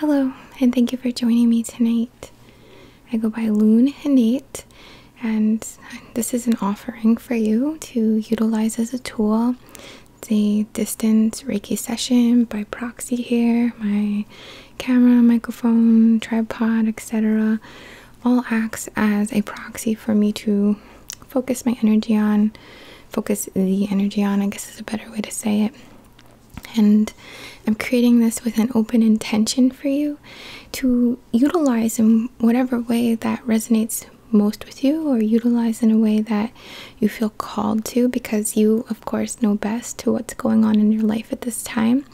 Hello, and thank you for joining me tonight. I go by Loon and and this is an offering for you to utilize as a tool. It's a distance Reiki session by proxy here. My camera, microphone, tripod, etc., all acts as a proxy for me to focus my energy on, focus the energy on, I guess is a better way to say it. And I'm creating this with an open intention for you to utilize in whatever way that resonates most with you, or utilize in a way that you feel called to, because you, of course, know best to what's going on in your life at this time.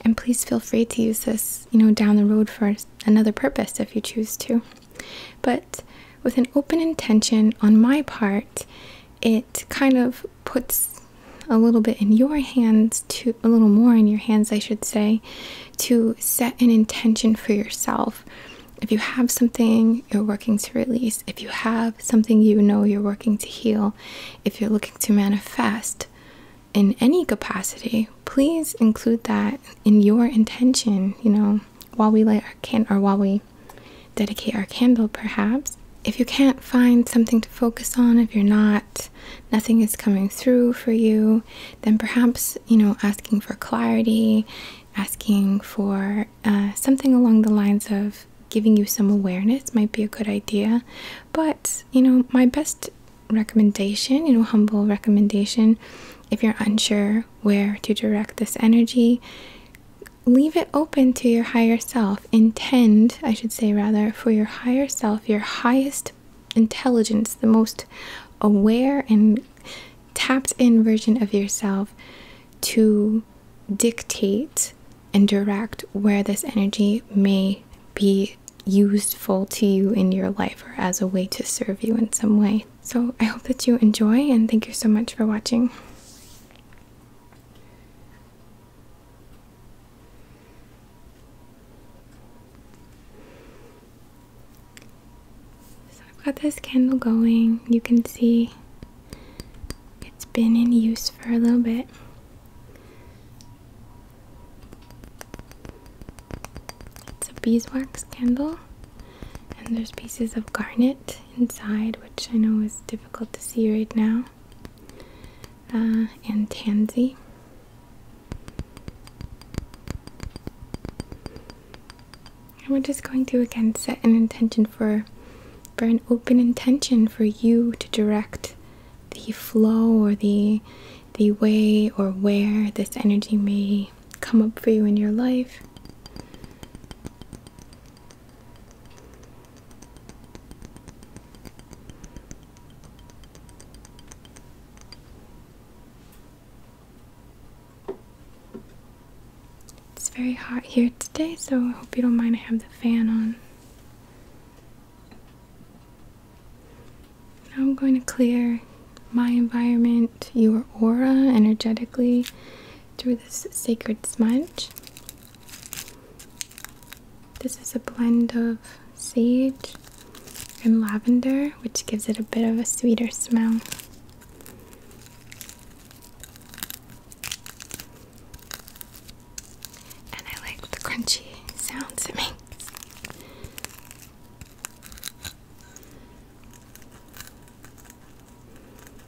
And please feel free to use this, you know, down the road for another purpose if you choose to. But with an open intention on my part, it it kind of puts a little bit in your hands to a little more in your hands, I should say, to set an intention for yourself. If you have something you're working to release, if you have something you know you're working to heal, if you're looking to manifest in any capacity, please include that in your intention, you know, while we light our can or while we dedicate our candle, perhaps. If you can't find something to focus on, if you're not, nothing is coming through for you, then perhaps, you know, asking for clarity, asking for uh, something along the lines of giving you some awareness might be a good idea. But, you know, my best recommendation, you know, humble recommendation, if you're unsure where to direct this energy, leave it open to your higher self. Intend, I should say, rather, for your higher self, your highest intelligence, the most aware and tapped in version of yourself to dictate and direct where this energy may be useful to you in your life or as a way to serve you in some way. So I hope that you enjoy and thank you so much for watching. So I've got this candle going. You can see it's been in use for a little bit. It's a beeswax candle, and there's pieces of garnet inside, which I know is difficult to see right now, uh, and tansy. And we're just going to again set an intention for, for an open intention for you to direct the flow or the the way or where this energy may come up for you in your life. It's very hot here today, so I hope you don't mind. I have the fan on. Now I'm going to clear my environment, your aura energetically through this sacred smudge. This is a blend of sage and lavender, which gives it a bit of a sweeter smell. And I like the crunchy sounds it makes.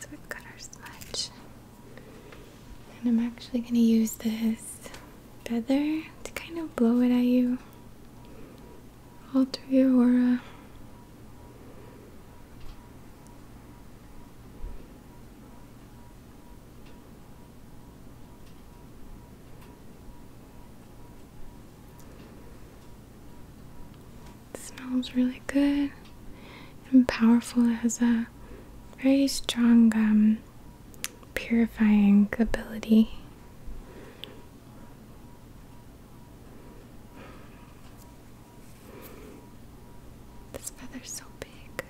Okay, so we got our smudge. And I'm actually going to use this feather to kind of blow it at you alter your aura. It smells really good and powerful. It has a very strong um, purifying ability. This feather's so big.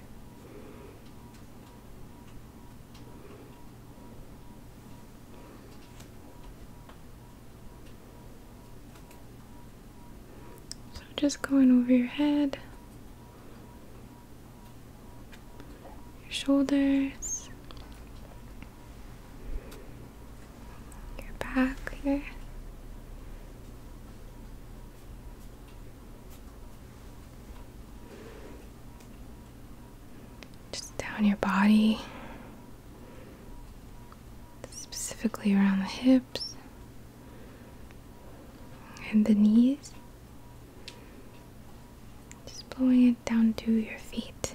So just going over your head, your shoulders, your back here. Just down your body, specifically around the hips and the knees. Just blowing it down to your feet.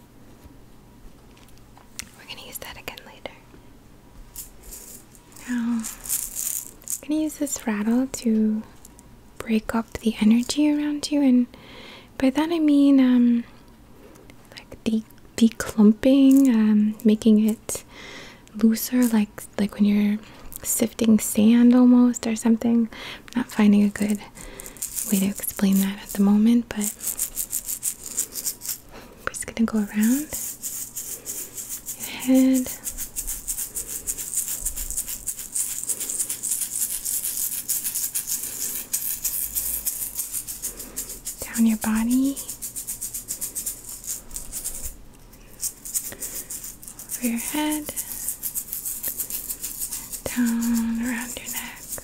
We're gonna use that again later. Now, I'm gonna use this rattle to break up the energy around you, and by that I mean, um, like de declumping, um, making it looser, like like when you're sifting sand almost or something. I'm not finding a good way to explain that at the moment, but I'm just gonna go around your head. Down your body, over your head, down around your neck,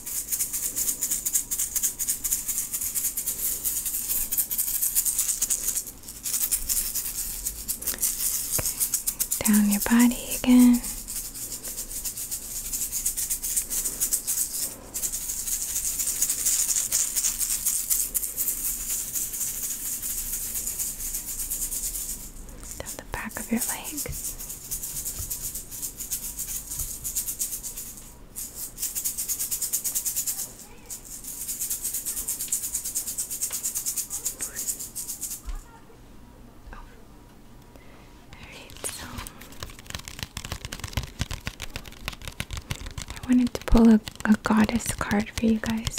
Down your body again. Down the back of your legs. Alright, so I wanted to pull a, a goddess card for you guys.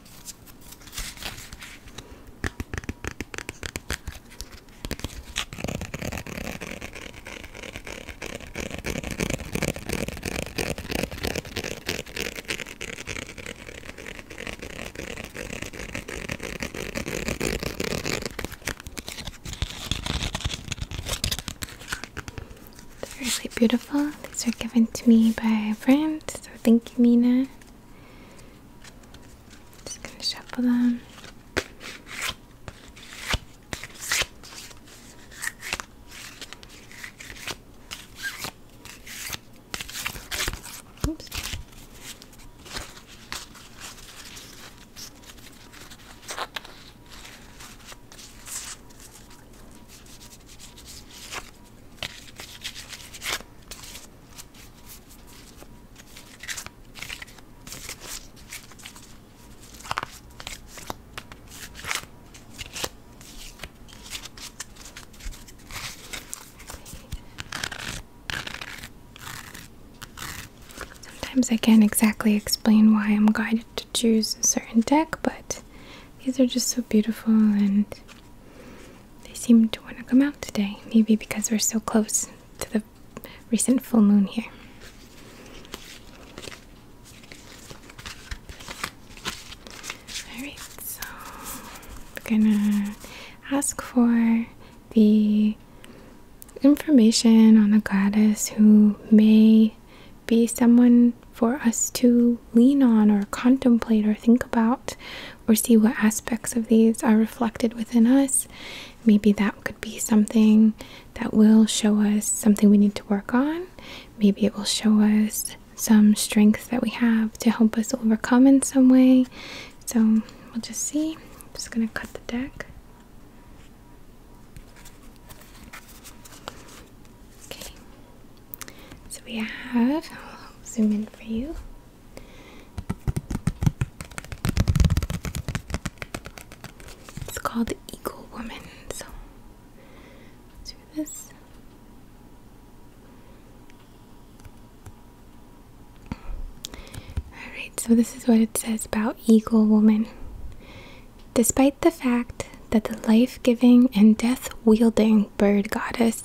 They're really beautiful. These were given to me by a friend, so thank you, Mina. Just gonna shuffle them. Oops. Sometimes I can't exactly explain why I'm guided to choose a certain deck, but these are just so beautiful and they seem to want to come out today, maybe because we're so close to the recent full moon here. Alright, so we're gonna ask for the information on a goddess who may be someone for us to lean on or contemplate or think about or see what aspects of these are reflected within us. Maybe that could be something that will show us something we need to work on. Maybe it will show us some strengths that we have to help us overcome in some way. So we'll just see. just going to cut the deck. Okay, so we have, zoom in for you. It's called Eagle Woman. So do this. Alright, so this is what it says about Eagle Woman. Despite the fact that the life giving and death wielding bird goddess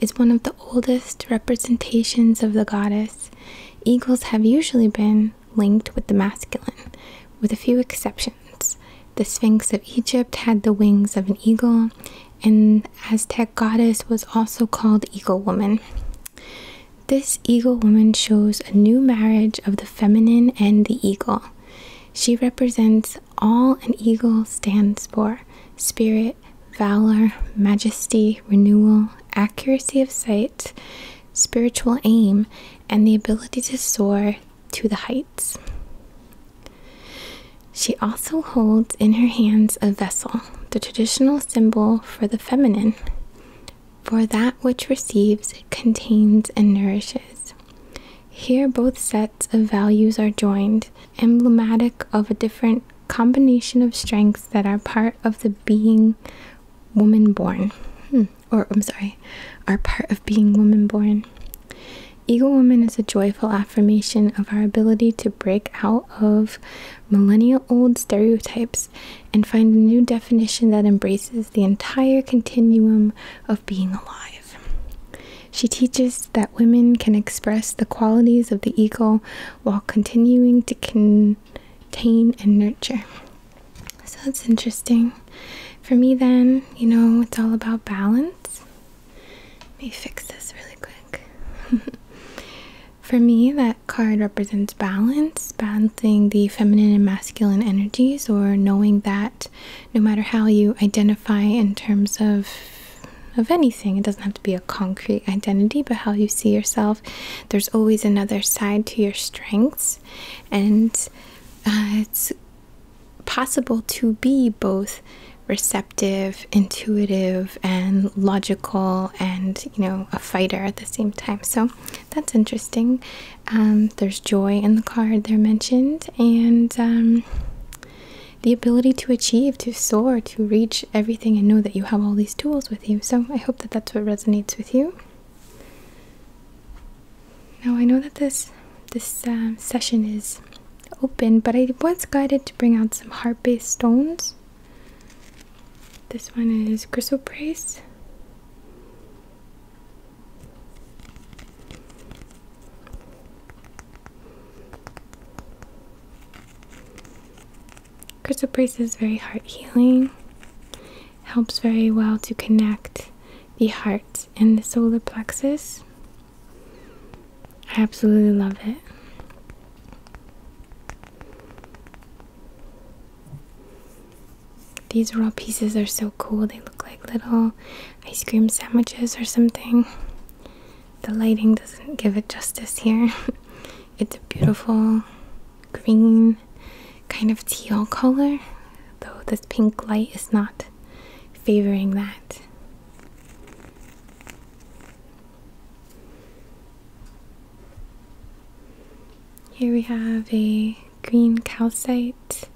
is one of the oldest representations of the goddess. Eagles have usually been linked with the masculine, with a few exceptions. The Sphinx of Egypt had the wings of an eagle, and Aztec goddess was also called Eagle Woman. This Eagle Woman shows a new marriage of the feminine and the eagle. She represents all an eagle stands for spirit, valor, majesty, renewal, accuracy of sight, spiritual aim, and the ability to soar to the heights. She also holds in her hands a vessel, the traditional symbol for the feminine, for that which receives, contains, and nourishes. Here, both sets of values are joined emblematic of a different combination of strengths that are part of the being woman born. Hmm, or, I'm sorry, are part of being woman born. Eagle Woman is a joyful affirmation of our ability to break out of millennial old stereotypes and find a new definition that embraces the entire continuum of being alive. She teaches that women can express the qualities of the eagle while continuing to contain and nurture. So it's interesting. For me, then, you know, it's all about balance. Let me fix this really quick. For me, that card represents balance, balancing the feminine and masculine energies, or knowing that no matter how you identify in terms of of anything it doesn't have to be a concrete identity but how you see yourself there's always another side to your strengths and uh, it's possible to be both receptive intuitive and logical and you know a fighter at the same time so that's interesting um, there's joy in the card they're mentioned and um, the ability to achieve, to soar, to reach everything, and know that you have all these tools with you. So I hope that that's what resonates with you. Now I know that this this um, session is open, but I was guided to bring out some heart-based stones. This one is chrysoprase. Chrysoprase is very heart healing. Helps very well to connect the heart and the solar plexus. I absolutely love it. These raw pieces are so cool. They look like little ice cream sandwiches or something. The lighting doesn't give it justice here. it's a beautiful green kind of teal color, though this pink light is not favoring that. Here we have a green calcite.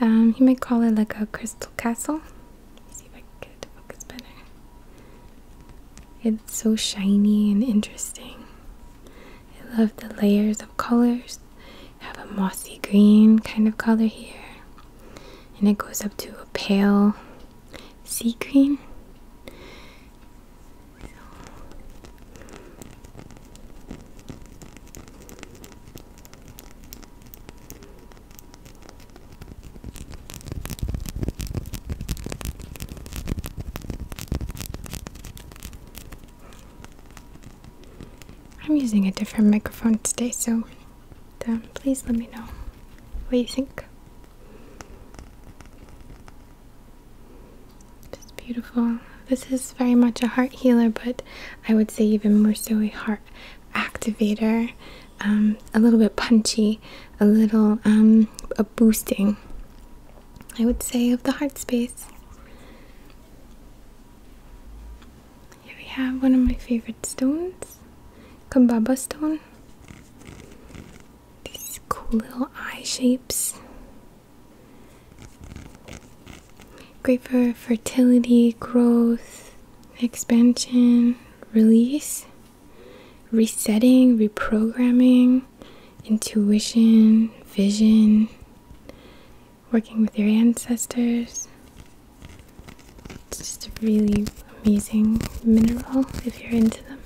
Um, you might call it like a crystal castle see if I can focus better. It's so shiny and interesting. I love the layers of colors. have a mossy green kind of color here. And it goes up to a pale sea green. I'm using a different microphone today, so um, please let me know what you think. It's beautiful. This is very much a heart healer, but I would say even more so a heart activator, um, a little bit punchy, a little um, a boosting, I would say, of the heart space. Here we have one of my favorite stones, Kambaba stone. These cool little eye shapes. Great for fertility, growth, expansion, release, resetting, reprogramming, intuition, vision, working with your ancestors. It's just a really amazing mineral if you're into them.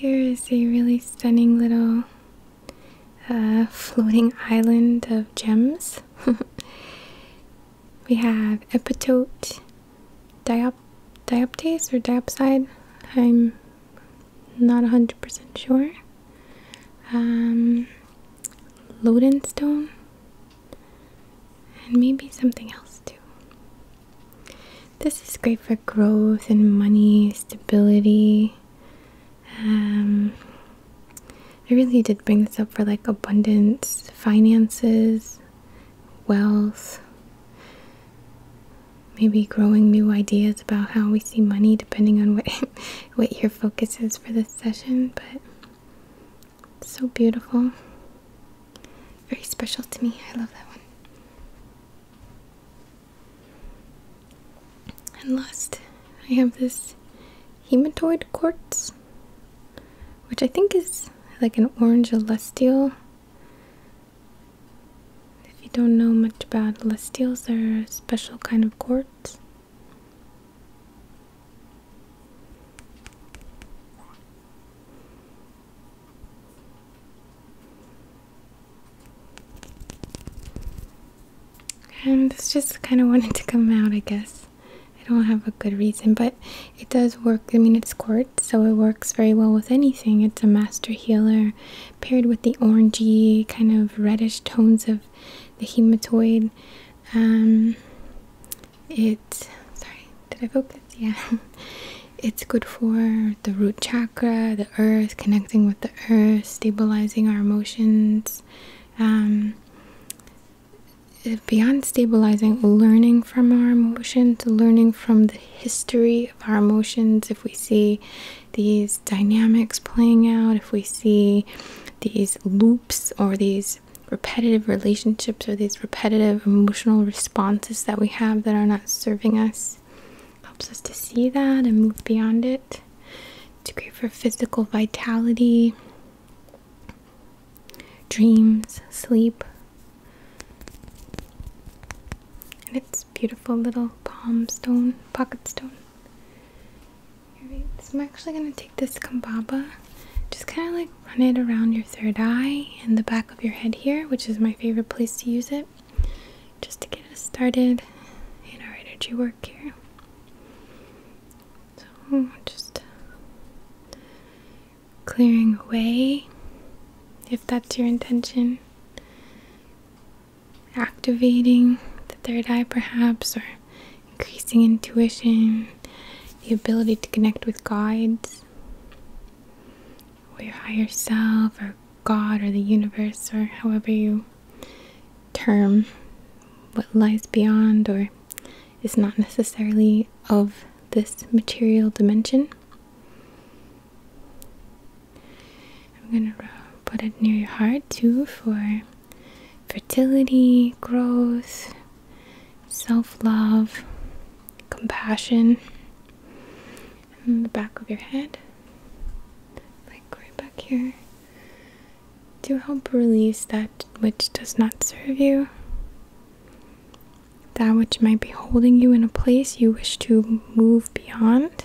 Here is a really stunning little uh, floating island of gems. we have epitote diop dioptase or diopside. I'm not 100% sure. Um, Lodenstone. And maybe something else too. This is great for growth and money, stability. Um, I really did bring this up for like abundance, finances, wealth maybe growing new ideas about how we see money depending on what what your focus is for this session but so beautiful very special to me i love that one and last i have this hematoid quartz which i think is like an orange celestial if you don't know much about celestials, they're a special kind of quartz. And this just kind of wanted to come out, I guess. I don't have a good reason, but it does work. I mean, it's quartz, so it works very well with anything. It's a master healer, paired with the orangey kind of reddish tones of the hematoid. Um, it sorry, did I focus? Yeah, it's good for the root chakra, the earth, connecting with the earth, stabilizing our emotions. Um, beyond stabilizing, learning from our emotions, learning from the history of our emotions. If we see these dynamics playing out, if we see these loops or these repetitive relationships or these repetitive emotional responses that we have that are not serving us, helps us to see that and move beyond it. It's great for physical vitality, dreams, sleep. And it's beautiful little palm stone, pocket stone. so I'm actually going to take this Kambaba, just kind of like run it around your third eye and the back of your head here, which is my favorite place to use it, just to get us started in our energy work here. So just clearing away, if that's your intention activating the third eye, perhaps, or increasing intuition, the ability to connect with guides, or your higher self, or God, or the universe, or however you term what lies beyond or is not necessarily of this material dimension. I'm gonna put it near your heart too for fertility, growth, self love, compassion, and the back of your head, like right back here, to help release that which does not serve you. That which might be holding you in a place you wish to move beyond,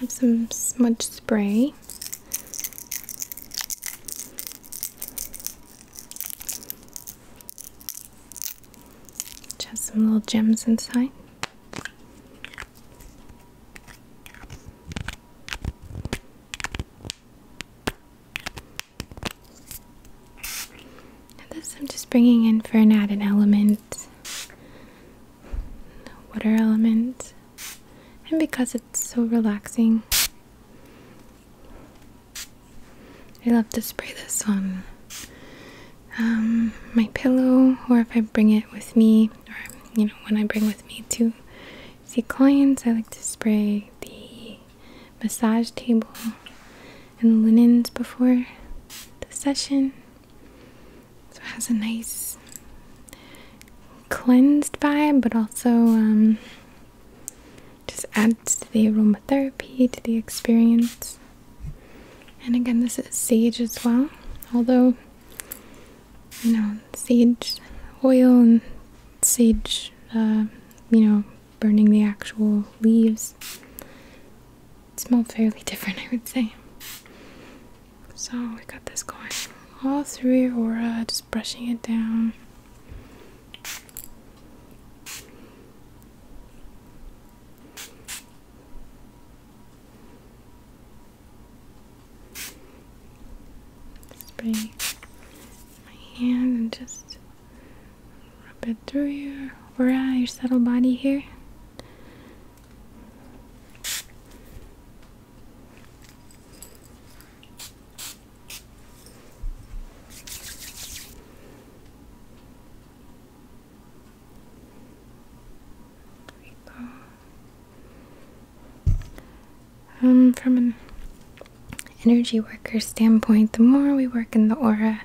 have some smudge spray. Which has some little gems inside. this I'm just bringing in for an added element water element and because it's so relaxing I love to spray this on um, my pillow or if I bring it with me or you know when I bring with me to see clients I like to spray the massage table and linens before the session so it has a nice cleansed vibe, but also um, just adds to the aromatherapy, to the experience. And again, this is sage as well, although, you know, sage oil and sage, uh, you know, burning the actual leaves smelled fairly different, I would say. So we got this going all through Aurora, just brushing it down. Spray my hand and just rub it through your aura, your subtle body here. Um, from an energy worker standpoint, the more we work in the aura,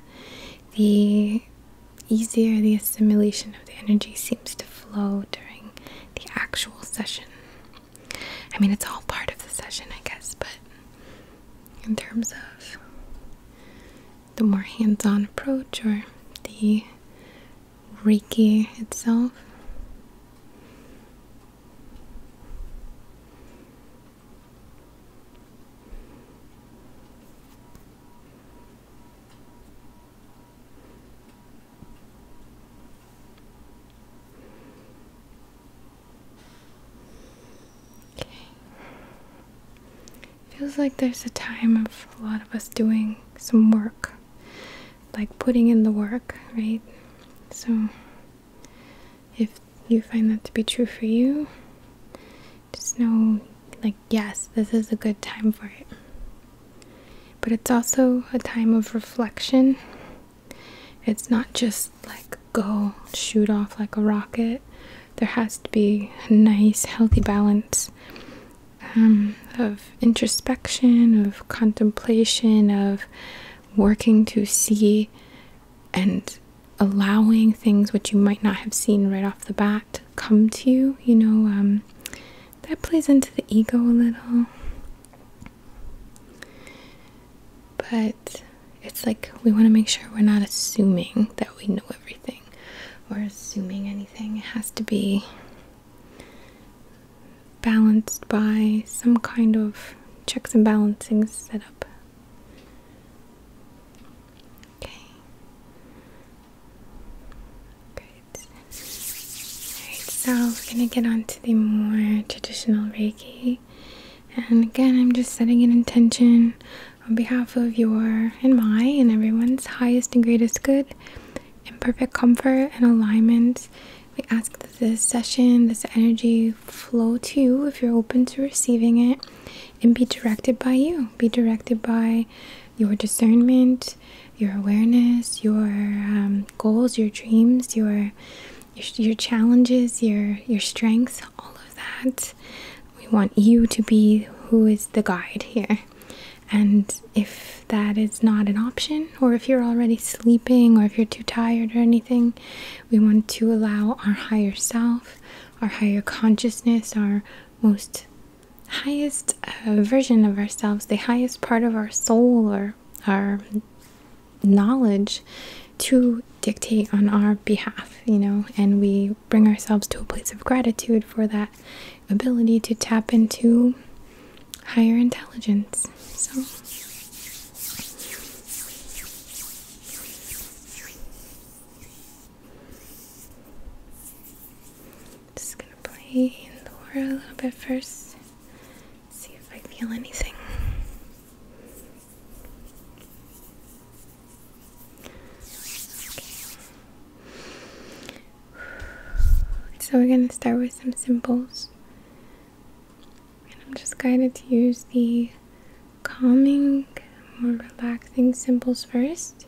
the easier the assimilation of the energy seems to flow during the actual session. I mean, it's all part of the session, I guess, but in terms of the more hands on approach or the Reiki itself. Okay. Feels like there's a time of a lot of us doing some work, like putting in the work, right? So, if you find that to be true for you, just know, like, yes, this is a good time for it. But it's also a time of reflection. It's not just like go shoot off like a rocket. There has to be a nice, healthy balance um, of introspection, of contemplation, of working to see and allowing things which you might not have seen right off the bat come to you. You know, um, that plays into the ego a little. But it's like we want to make sure we're not assuming that we know everything or assuming anything. It has to be balanced by some kind of checks and balancing setup. Okay. Okay. Alright, so we're gonna get on to the more traditional Reiki. And again, I'm just setting an intention on behalf of your and my and everyone's highest and greatest good and perfect comfort and alignment. We ask that this session, this energy flow to you if you're open to receiving it and be directed by you, be directed by your discernment, your awareness, your um, goals, your dreams, your, your your challenges, your your strengths, all of that. We want you to be who is the guide here. And if that is not an option, or if you're already sleeping, or if you're too tired or anything, we want to allow our higher self, our higher consciousness, our most highest uh, version of ourselves, the highest part of our soul or our knowledge to dictate on our behalf, you know, and we bring ourselves to a place of gratitude for that ability to tap into higher intelligence. So just gonna play in the water a little bit first. See if I feel anything. Okay. So we're gonna start with some symbols. And I'm just guided to use the calming, more relaxing symbols first.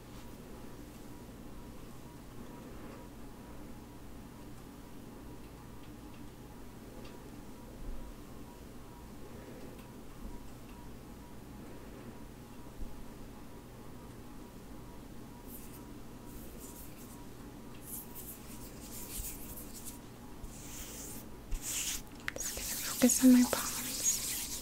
I'm gonna focus on my palms.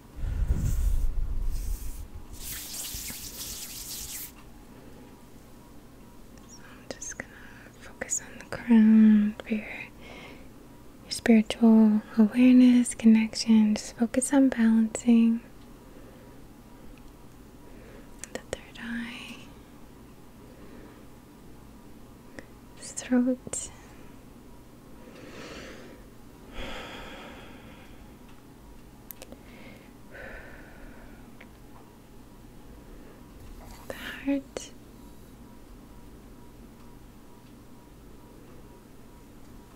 I'm just gonna focus on the crown for your, your spiritual awareness, connection. Just focus on balancing the third eye, throat the heart.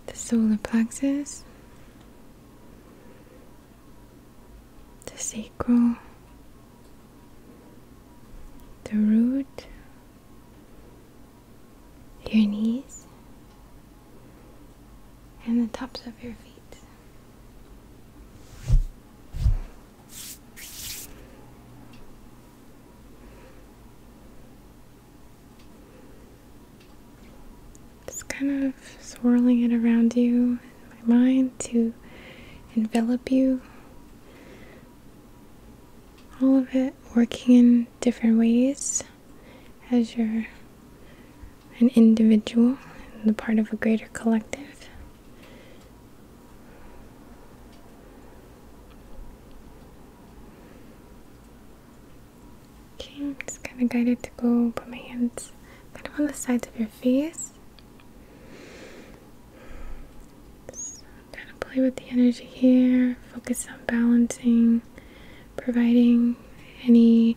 The solar plexus, the sacral, the root, your knees, and the tops of your feet. Just kind of swirling it around you my mind to envelop you. All of it working in different ways as you're an individual and the part of a greater collective. Okay, I'm just kind of guided to go put my hands kind of on the sides of your face. kind of play with the energy here, focus on balancing providing any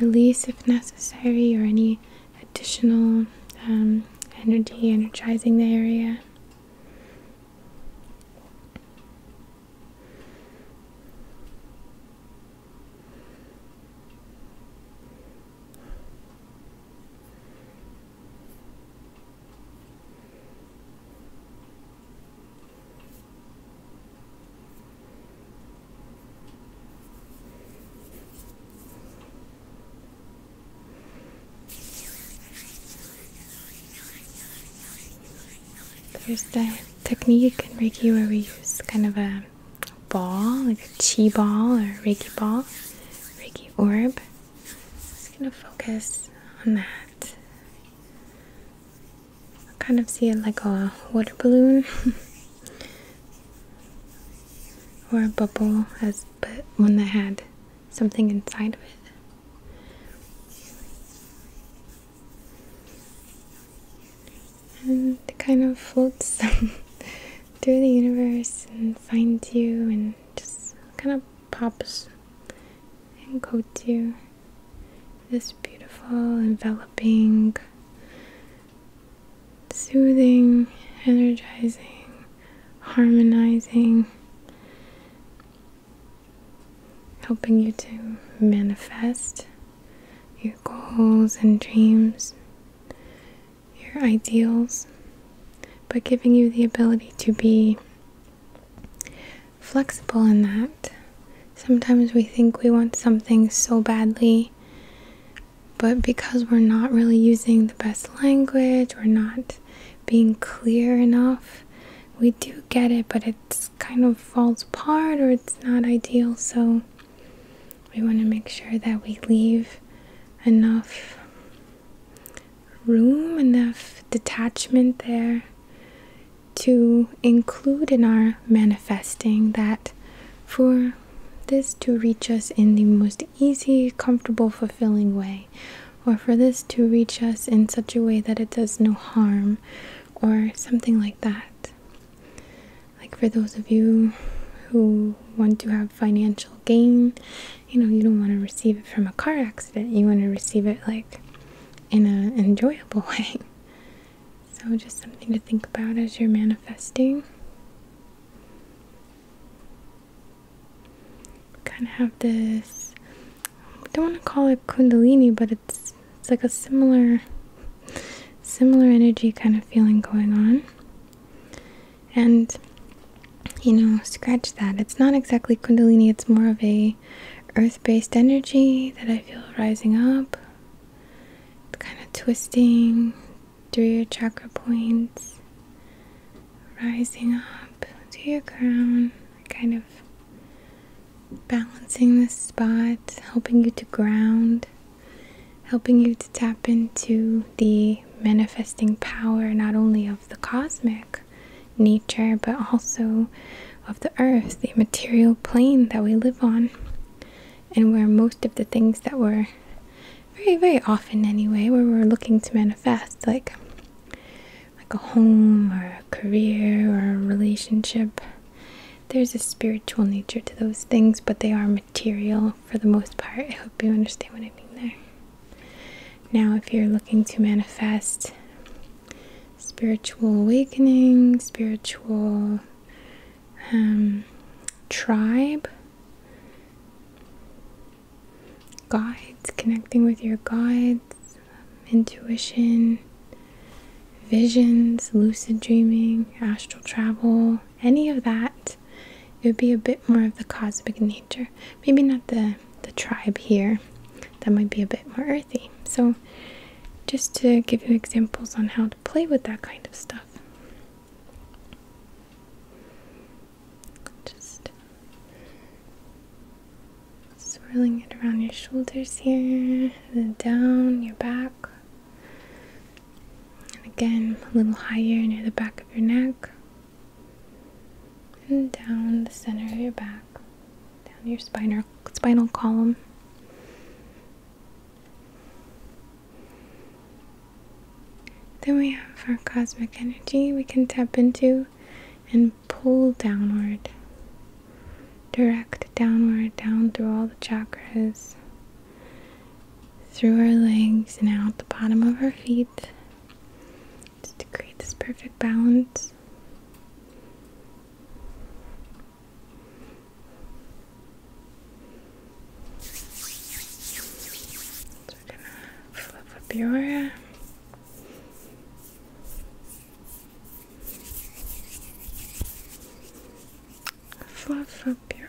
release if necessary or any additional um, energy energizing the area. There's the technique in Reiki where we use kind of a ball, like a chi ball or Reiki ball, Reiki orb. just gonna focus on that. I kind of see it like a water balloon or a bubble as but one that had something inside of it. And it kind of floats through the universe and finds you and just kind of pops and coats you this beautiful, enveloping, soothing, energizing, harmonizing, helping you to manifest your goals and dreams, your ideals, but giving you the ability to be flexible in that. Sometimes we think we want something so badly, but because we're not really using the best language, we're not being clear enough, we do get it, but it's kind of falls apart or it's not ideal. So we want to make sure that we leave enough room, enough detachment there to include in our manifesting that for this to reach us in the most easy, comfortable, fulfilling way, or for this to reach us in such a way that it does no harm, or something like that. Like for those of you who want to have financial gain, you know, you don't want to receive it from a car accident, you want to receive it like in an enjoyable way. So, just something to think about as you're manifesting. Kind of have this, I don't want to call it Kundalini, but it's, it's like a similar, similar energy kind of feeling going on. And, you know, scratch that. It's not exactly Kundalini, it's more of a earth based energy that I feel rising up. kind of twisting through your chakra points, rising up to your crown, kind of balancing the spots, helping you to ground, helping you to tap into the manifesting power not only of the cosmic nature but also of the earth, the material plane that we live on, and where most of the things that we're very, very often anyway, where we're looking to manifest, like like a home or a career or a relationship. There's a spiritual nature to those things, but they are material for the most part. I hope you understand what I mean there. Now, if you're looking to manifest spiritual awakening, spiritual um, tribe, guides, connecting with your guides, intuition, visions, lucid dreaming, astral travel, any of that. It would be a bit more of the cosmic nature. Maybe not the, the tribe here, that might be a bit more earthy. So, just to give you examples on how to play with that kind of stuff. Just swirling it around your shoulders here, then down your back. And again, a little higher near the back of your neck. And down the center of your back down your spinal spinal column. Then we have our cosmic energy we can tap into and pull downward. Direct downward, down through all the chakras, through our legs, and out the bottom of our feet, just to create this perfect balance. So we're gonna flip up your hair. Fluff up your hair.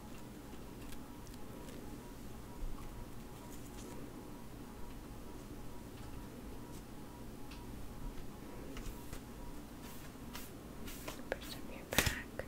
Numbers of your back. Good.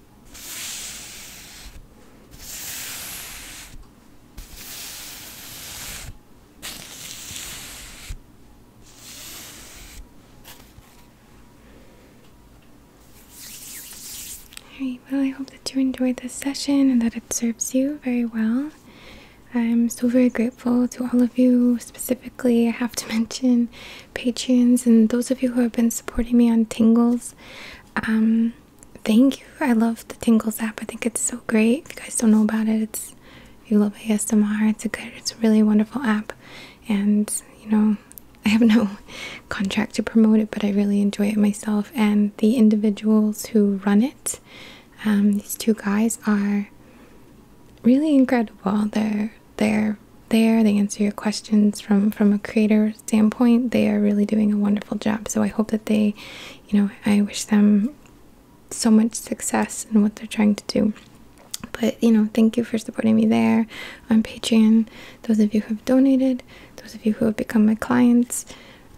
Alright, well, I hope that you enjoyed this session and that it serves you very well. I'm so very grateful to all of you, specifically I have to mention Patreons and those of you who have been supporting me on Tingles. Um, thank you. I love the Tingles app. I think it's so great. If you guys don't know about it, it's if you love ASMR. It's a good, it's really wonderful app, and you know, I have no contract to promote it, but I really enjoy it myself. And the individuals who run it, um, these two guys are really incredible. They're they're there they answer your questions from from a creator standpoint they are really doing a wonderful job so i hope that they you know i wish them so much success in what they're trying to do but you know thank you for supporting me there on patreon those of you who have donated those of you who have become my clients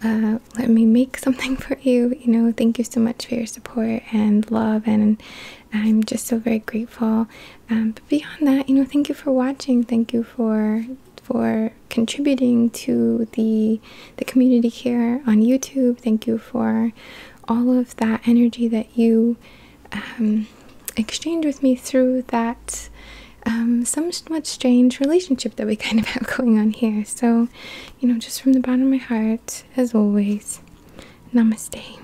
uh, let me make something for you you know thank you so much for your support and love and i'm just so very grateful um, but beyond that, you know, thank you for watching. Thank you for for contributing to the the community here on YouTube. Thank you for all of that energy that you um, exchange with me through that um, somewhat strange relationship that we kind of have going on here. So, you know, just from the bottom of my heart, as always, namaste.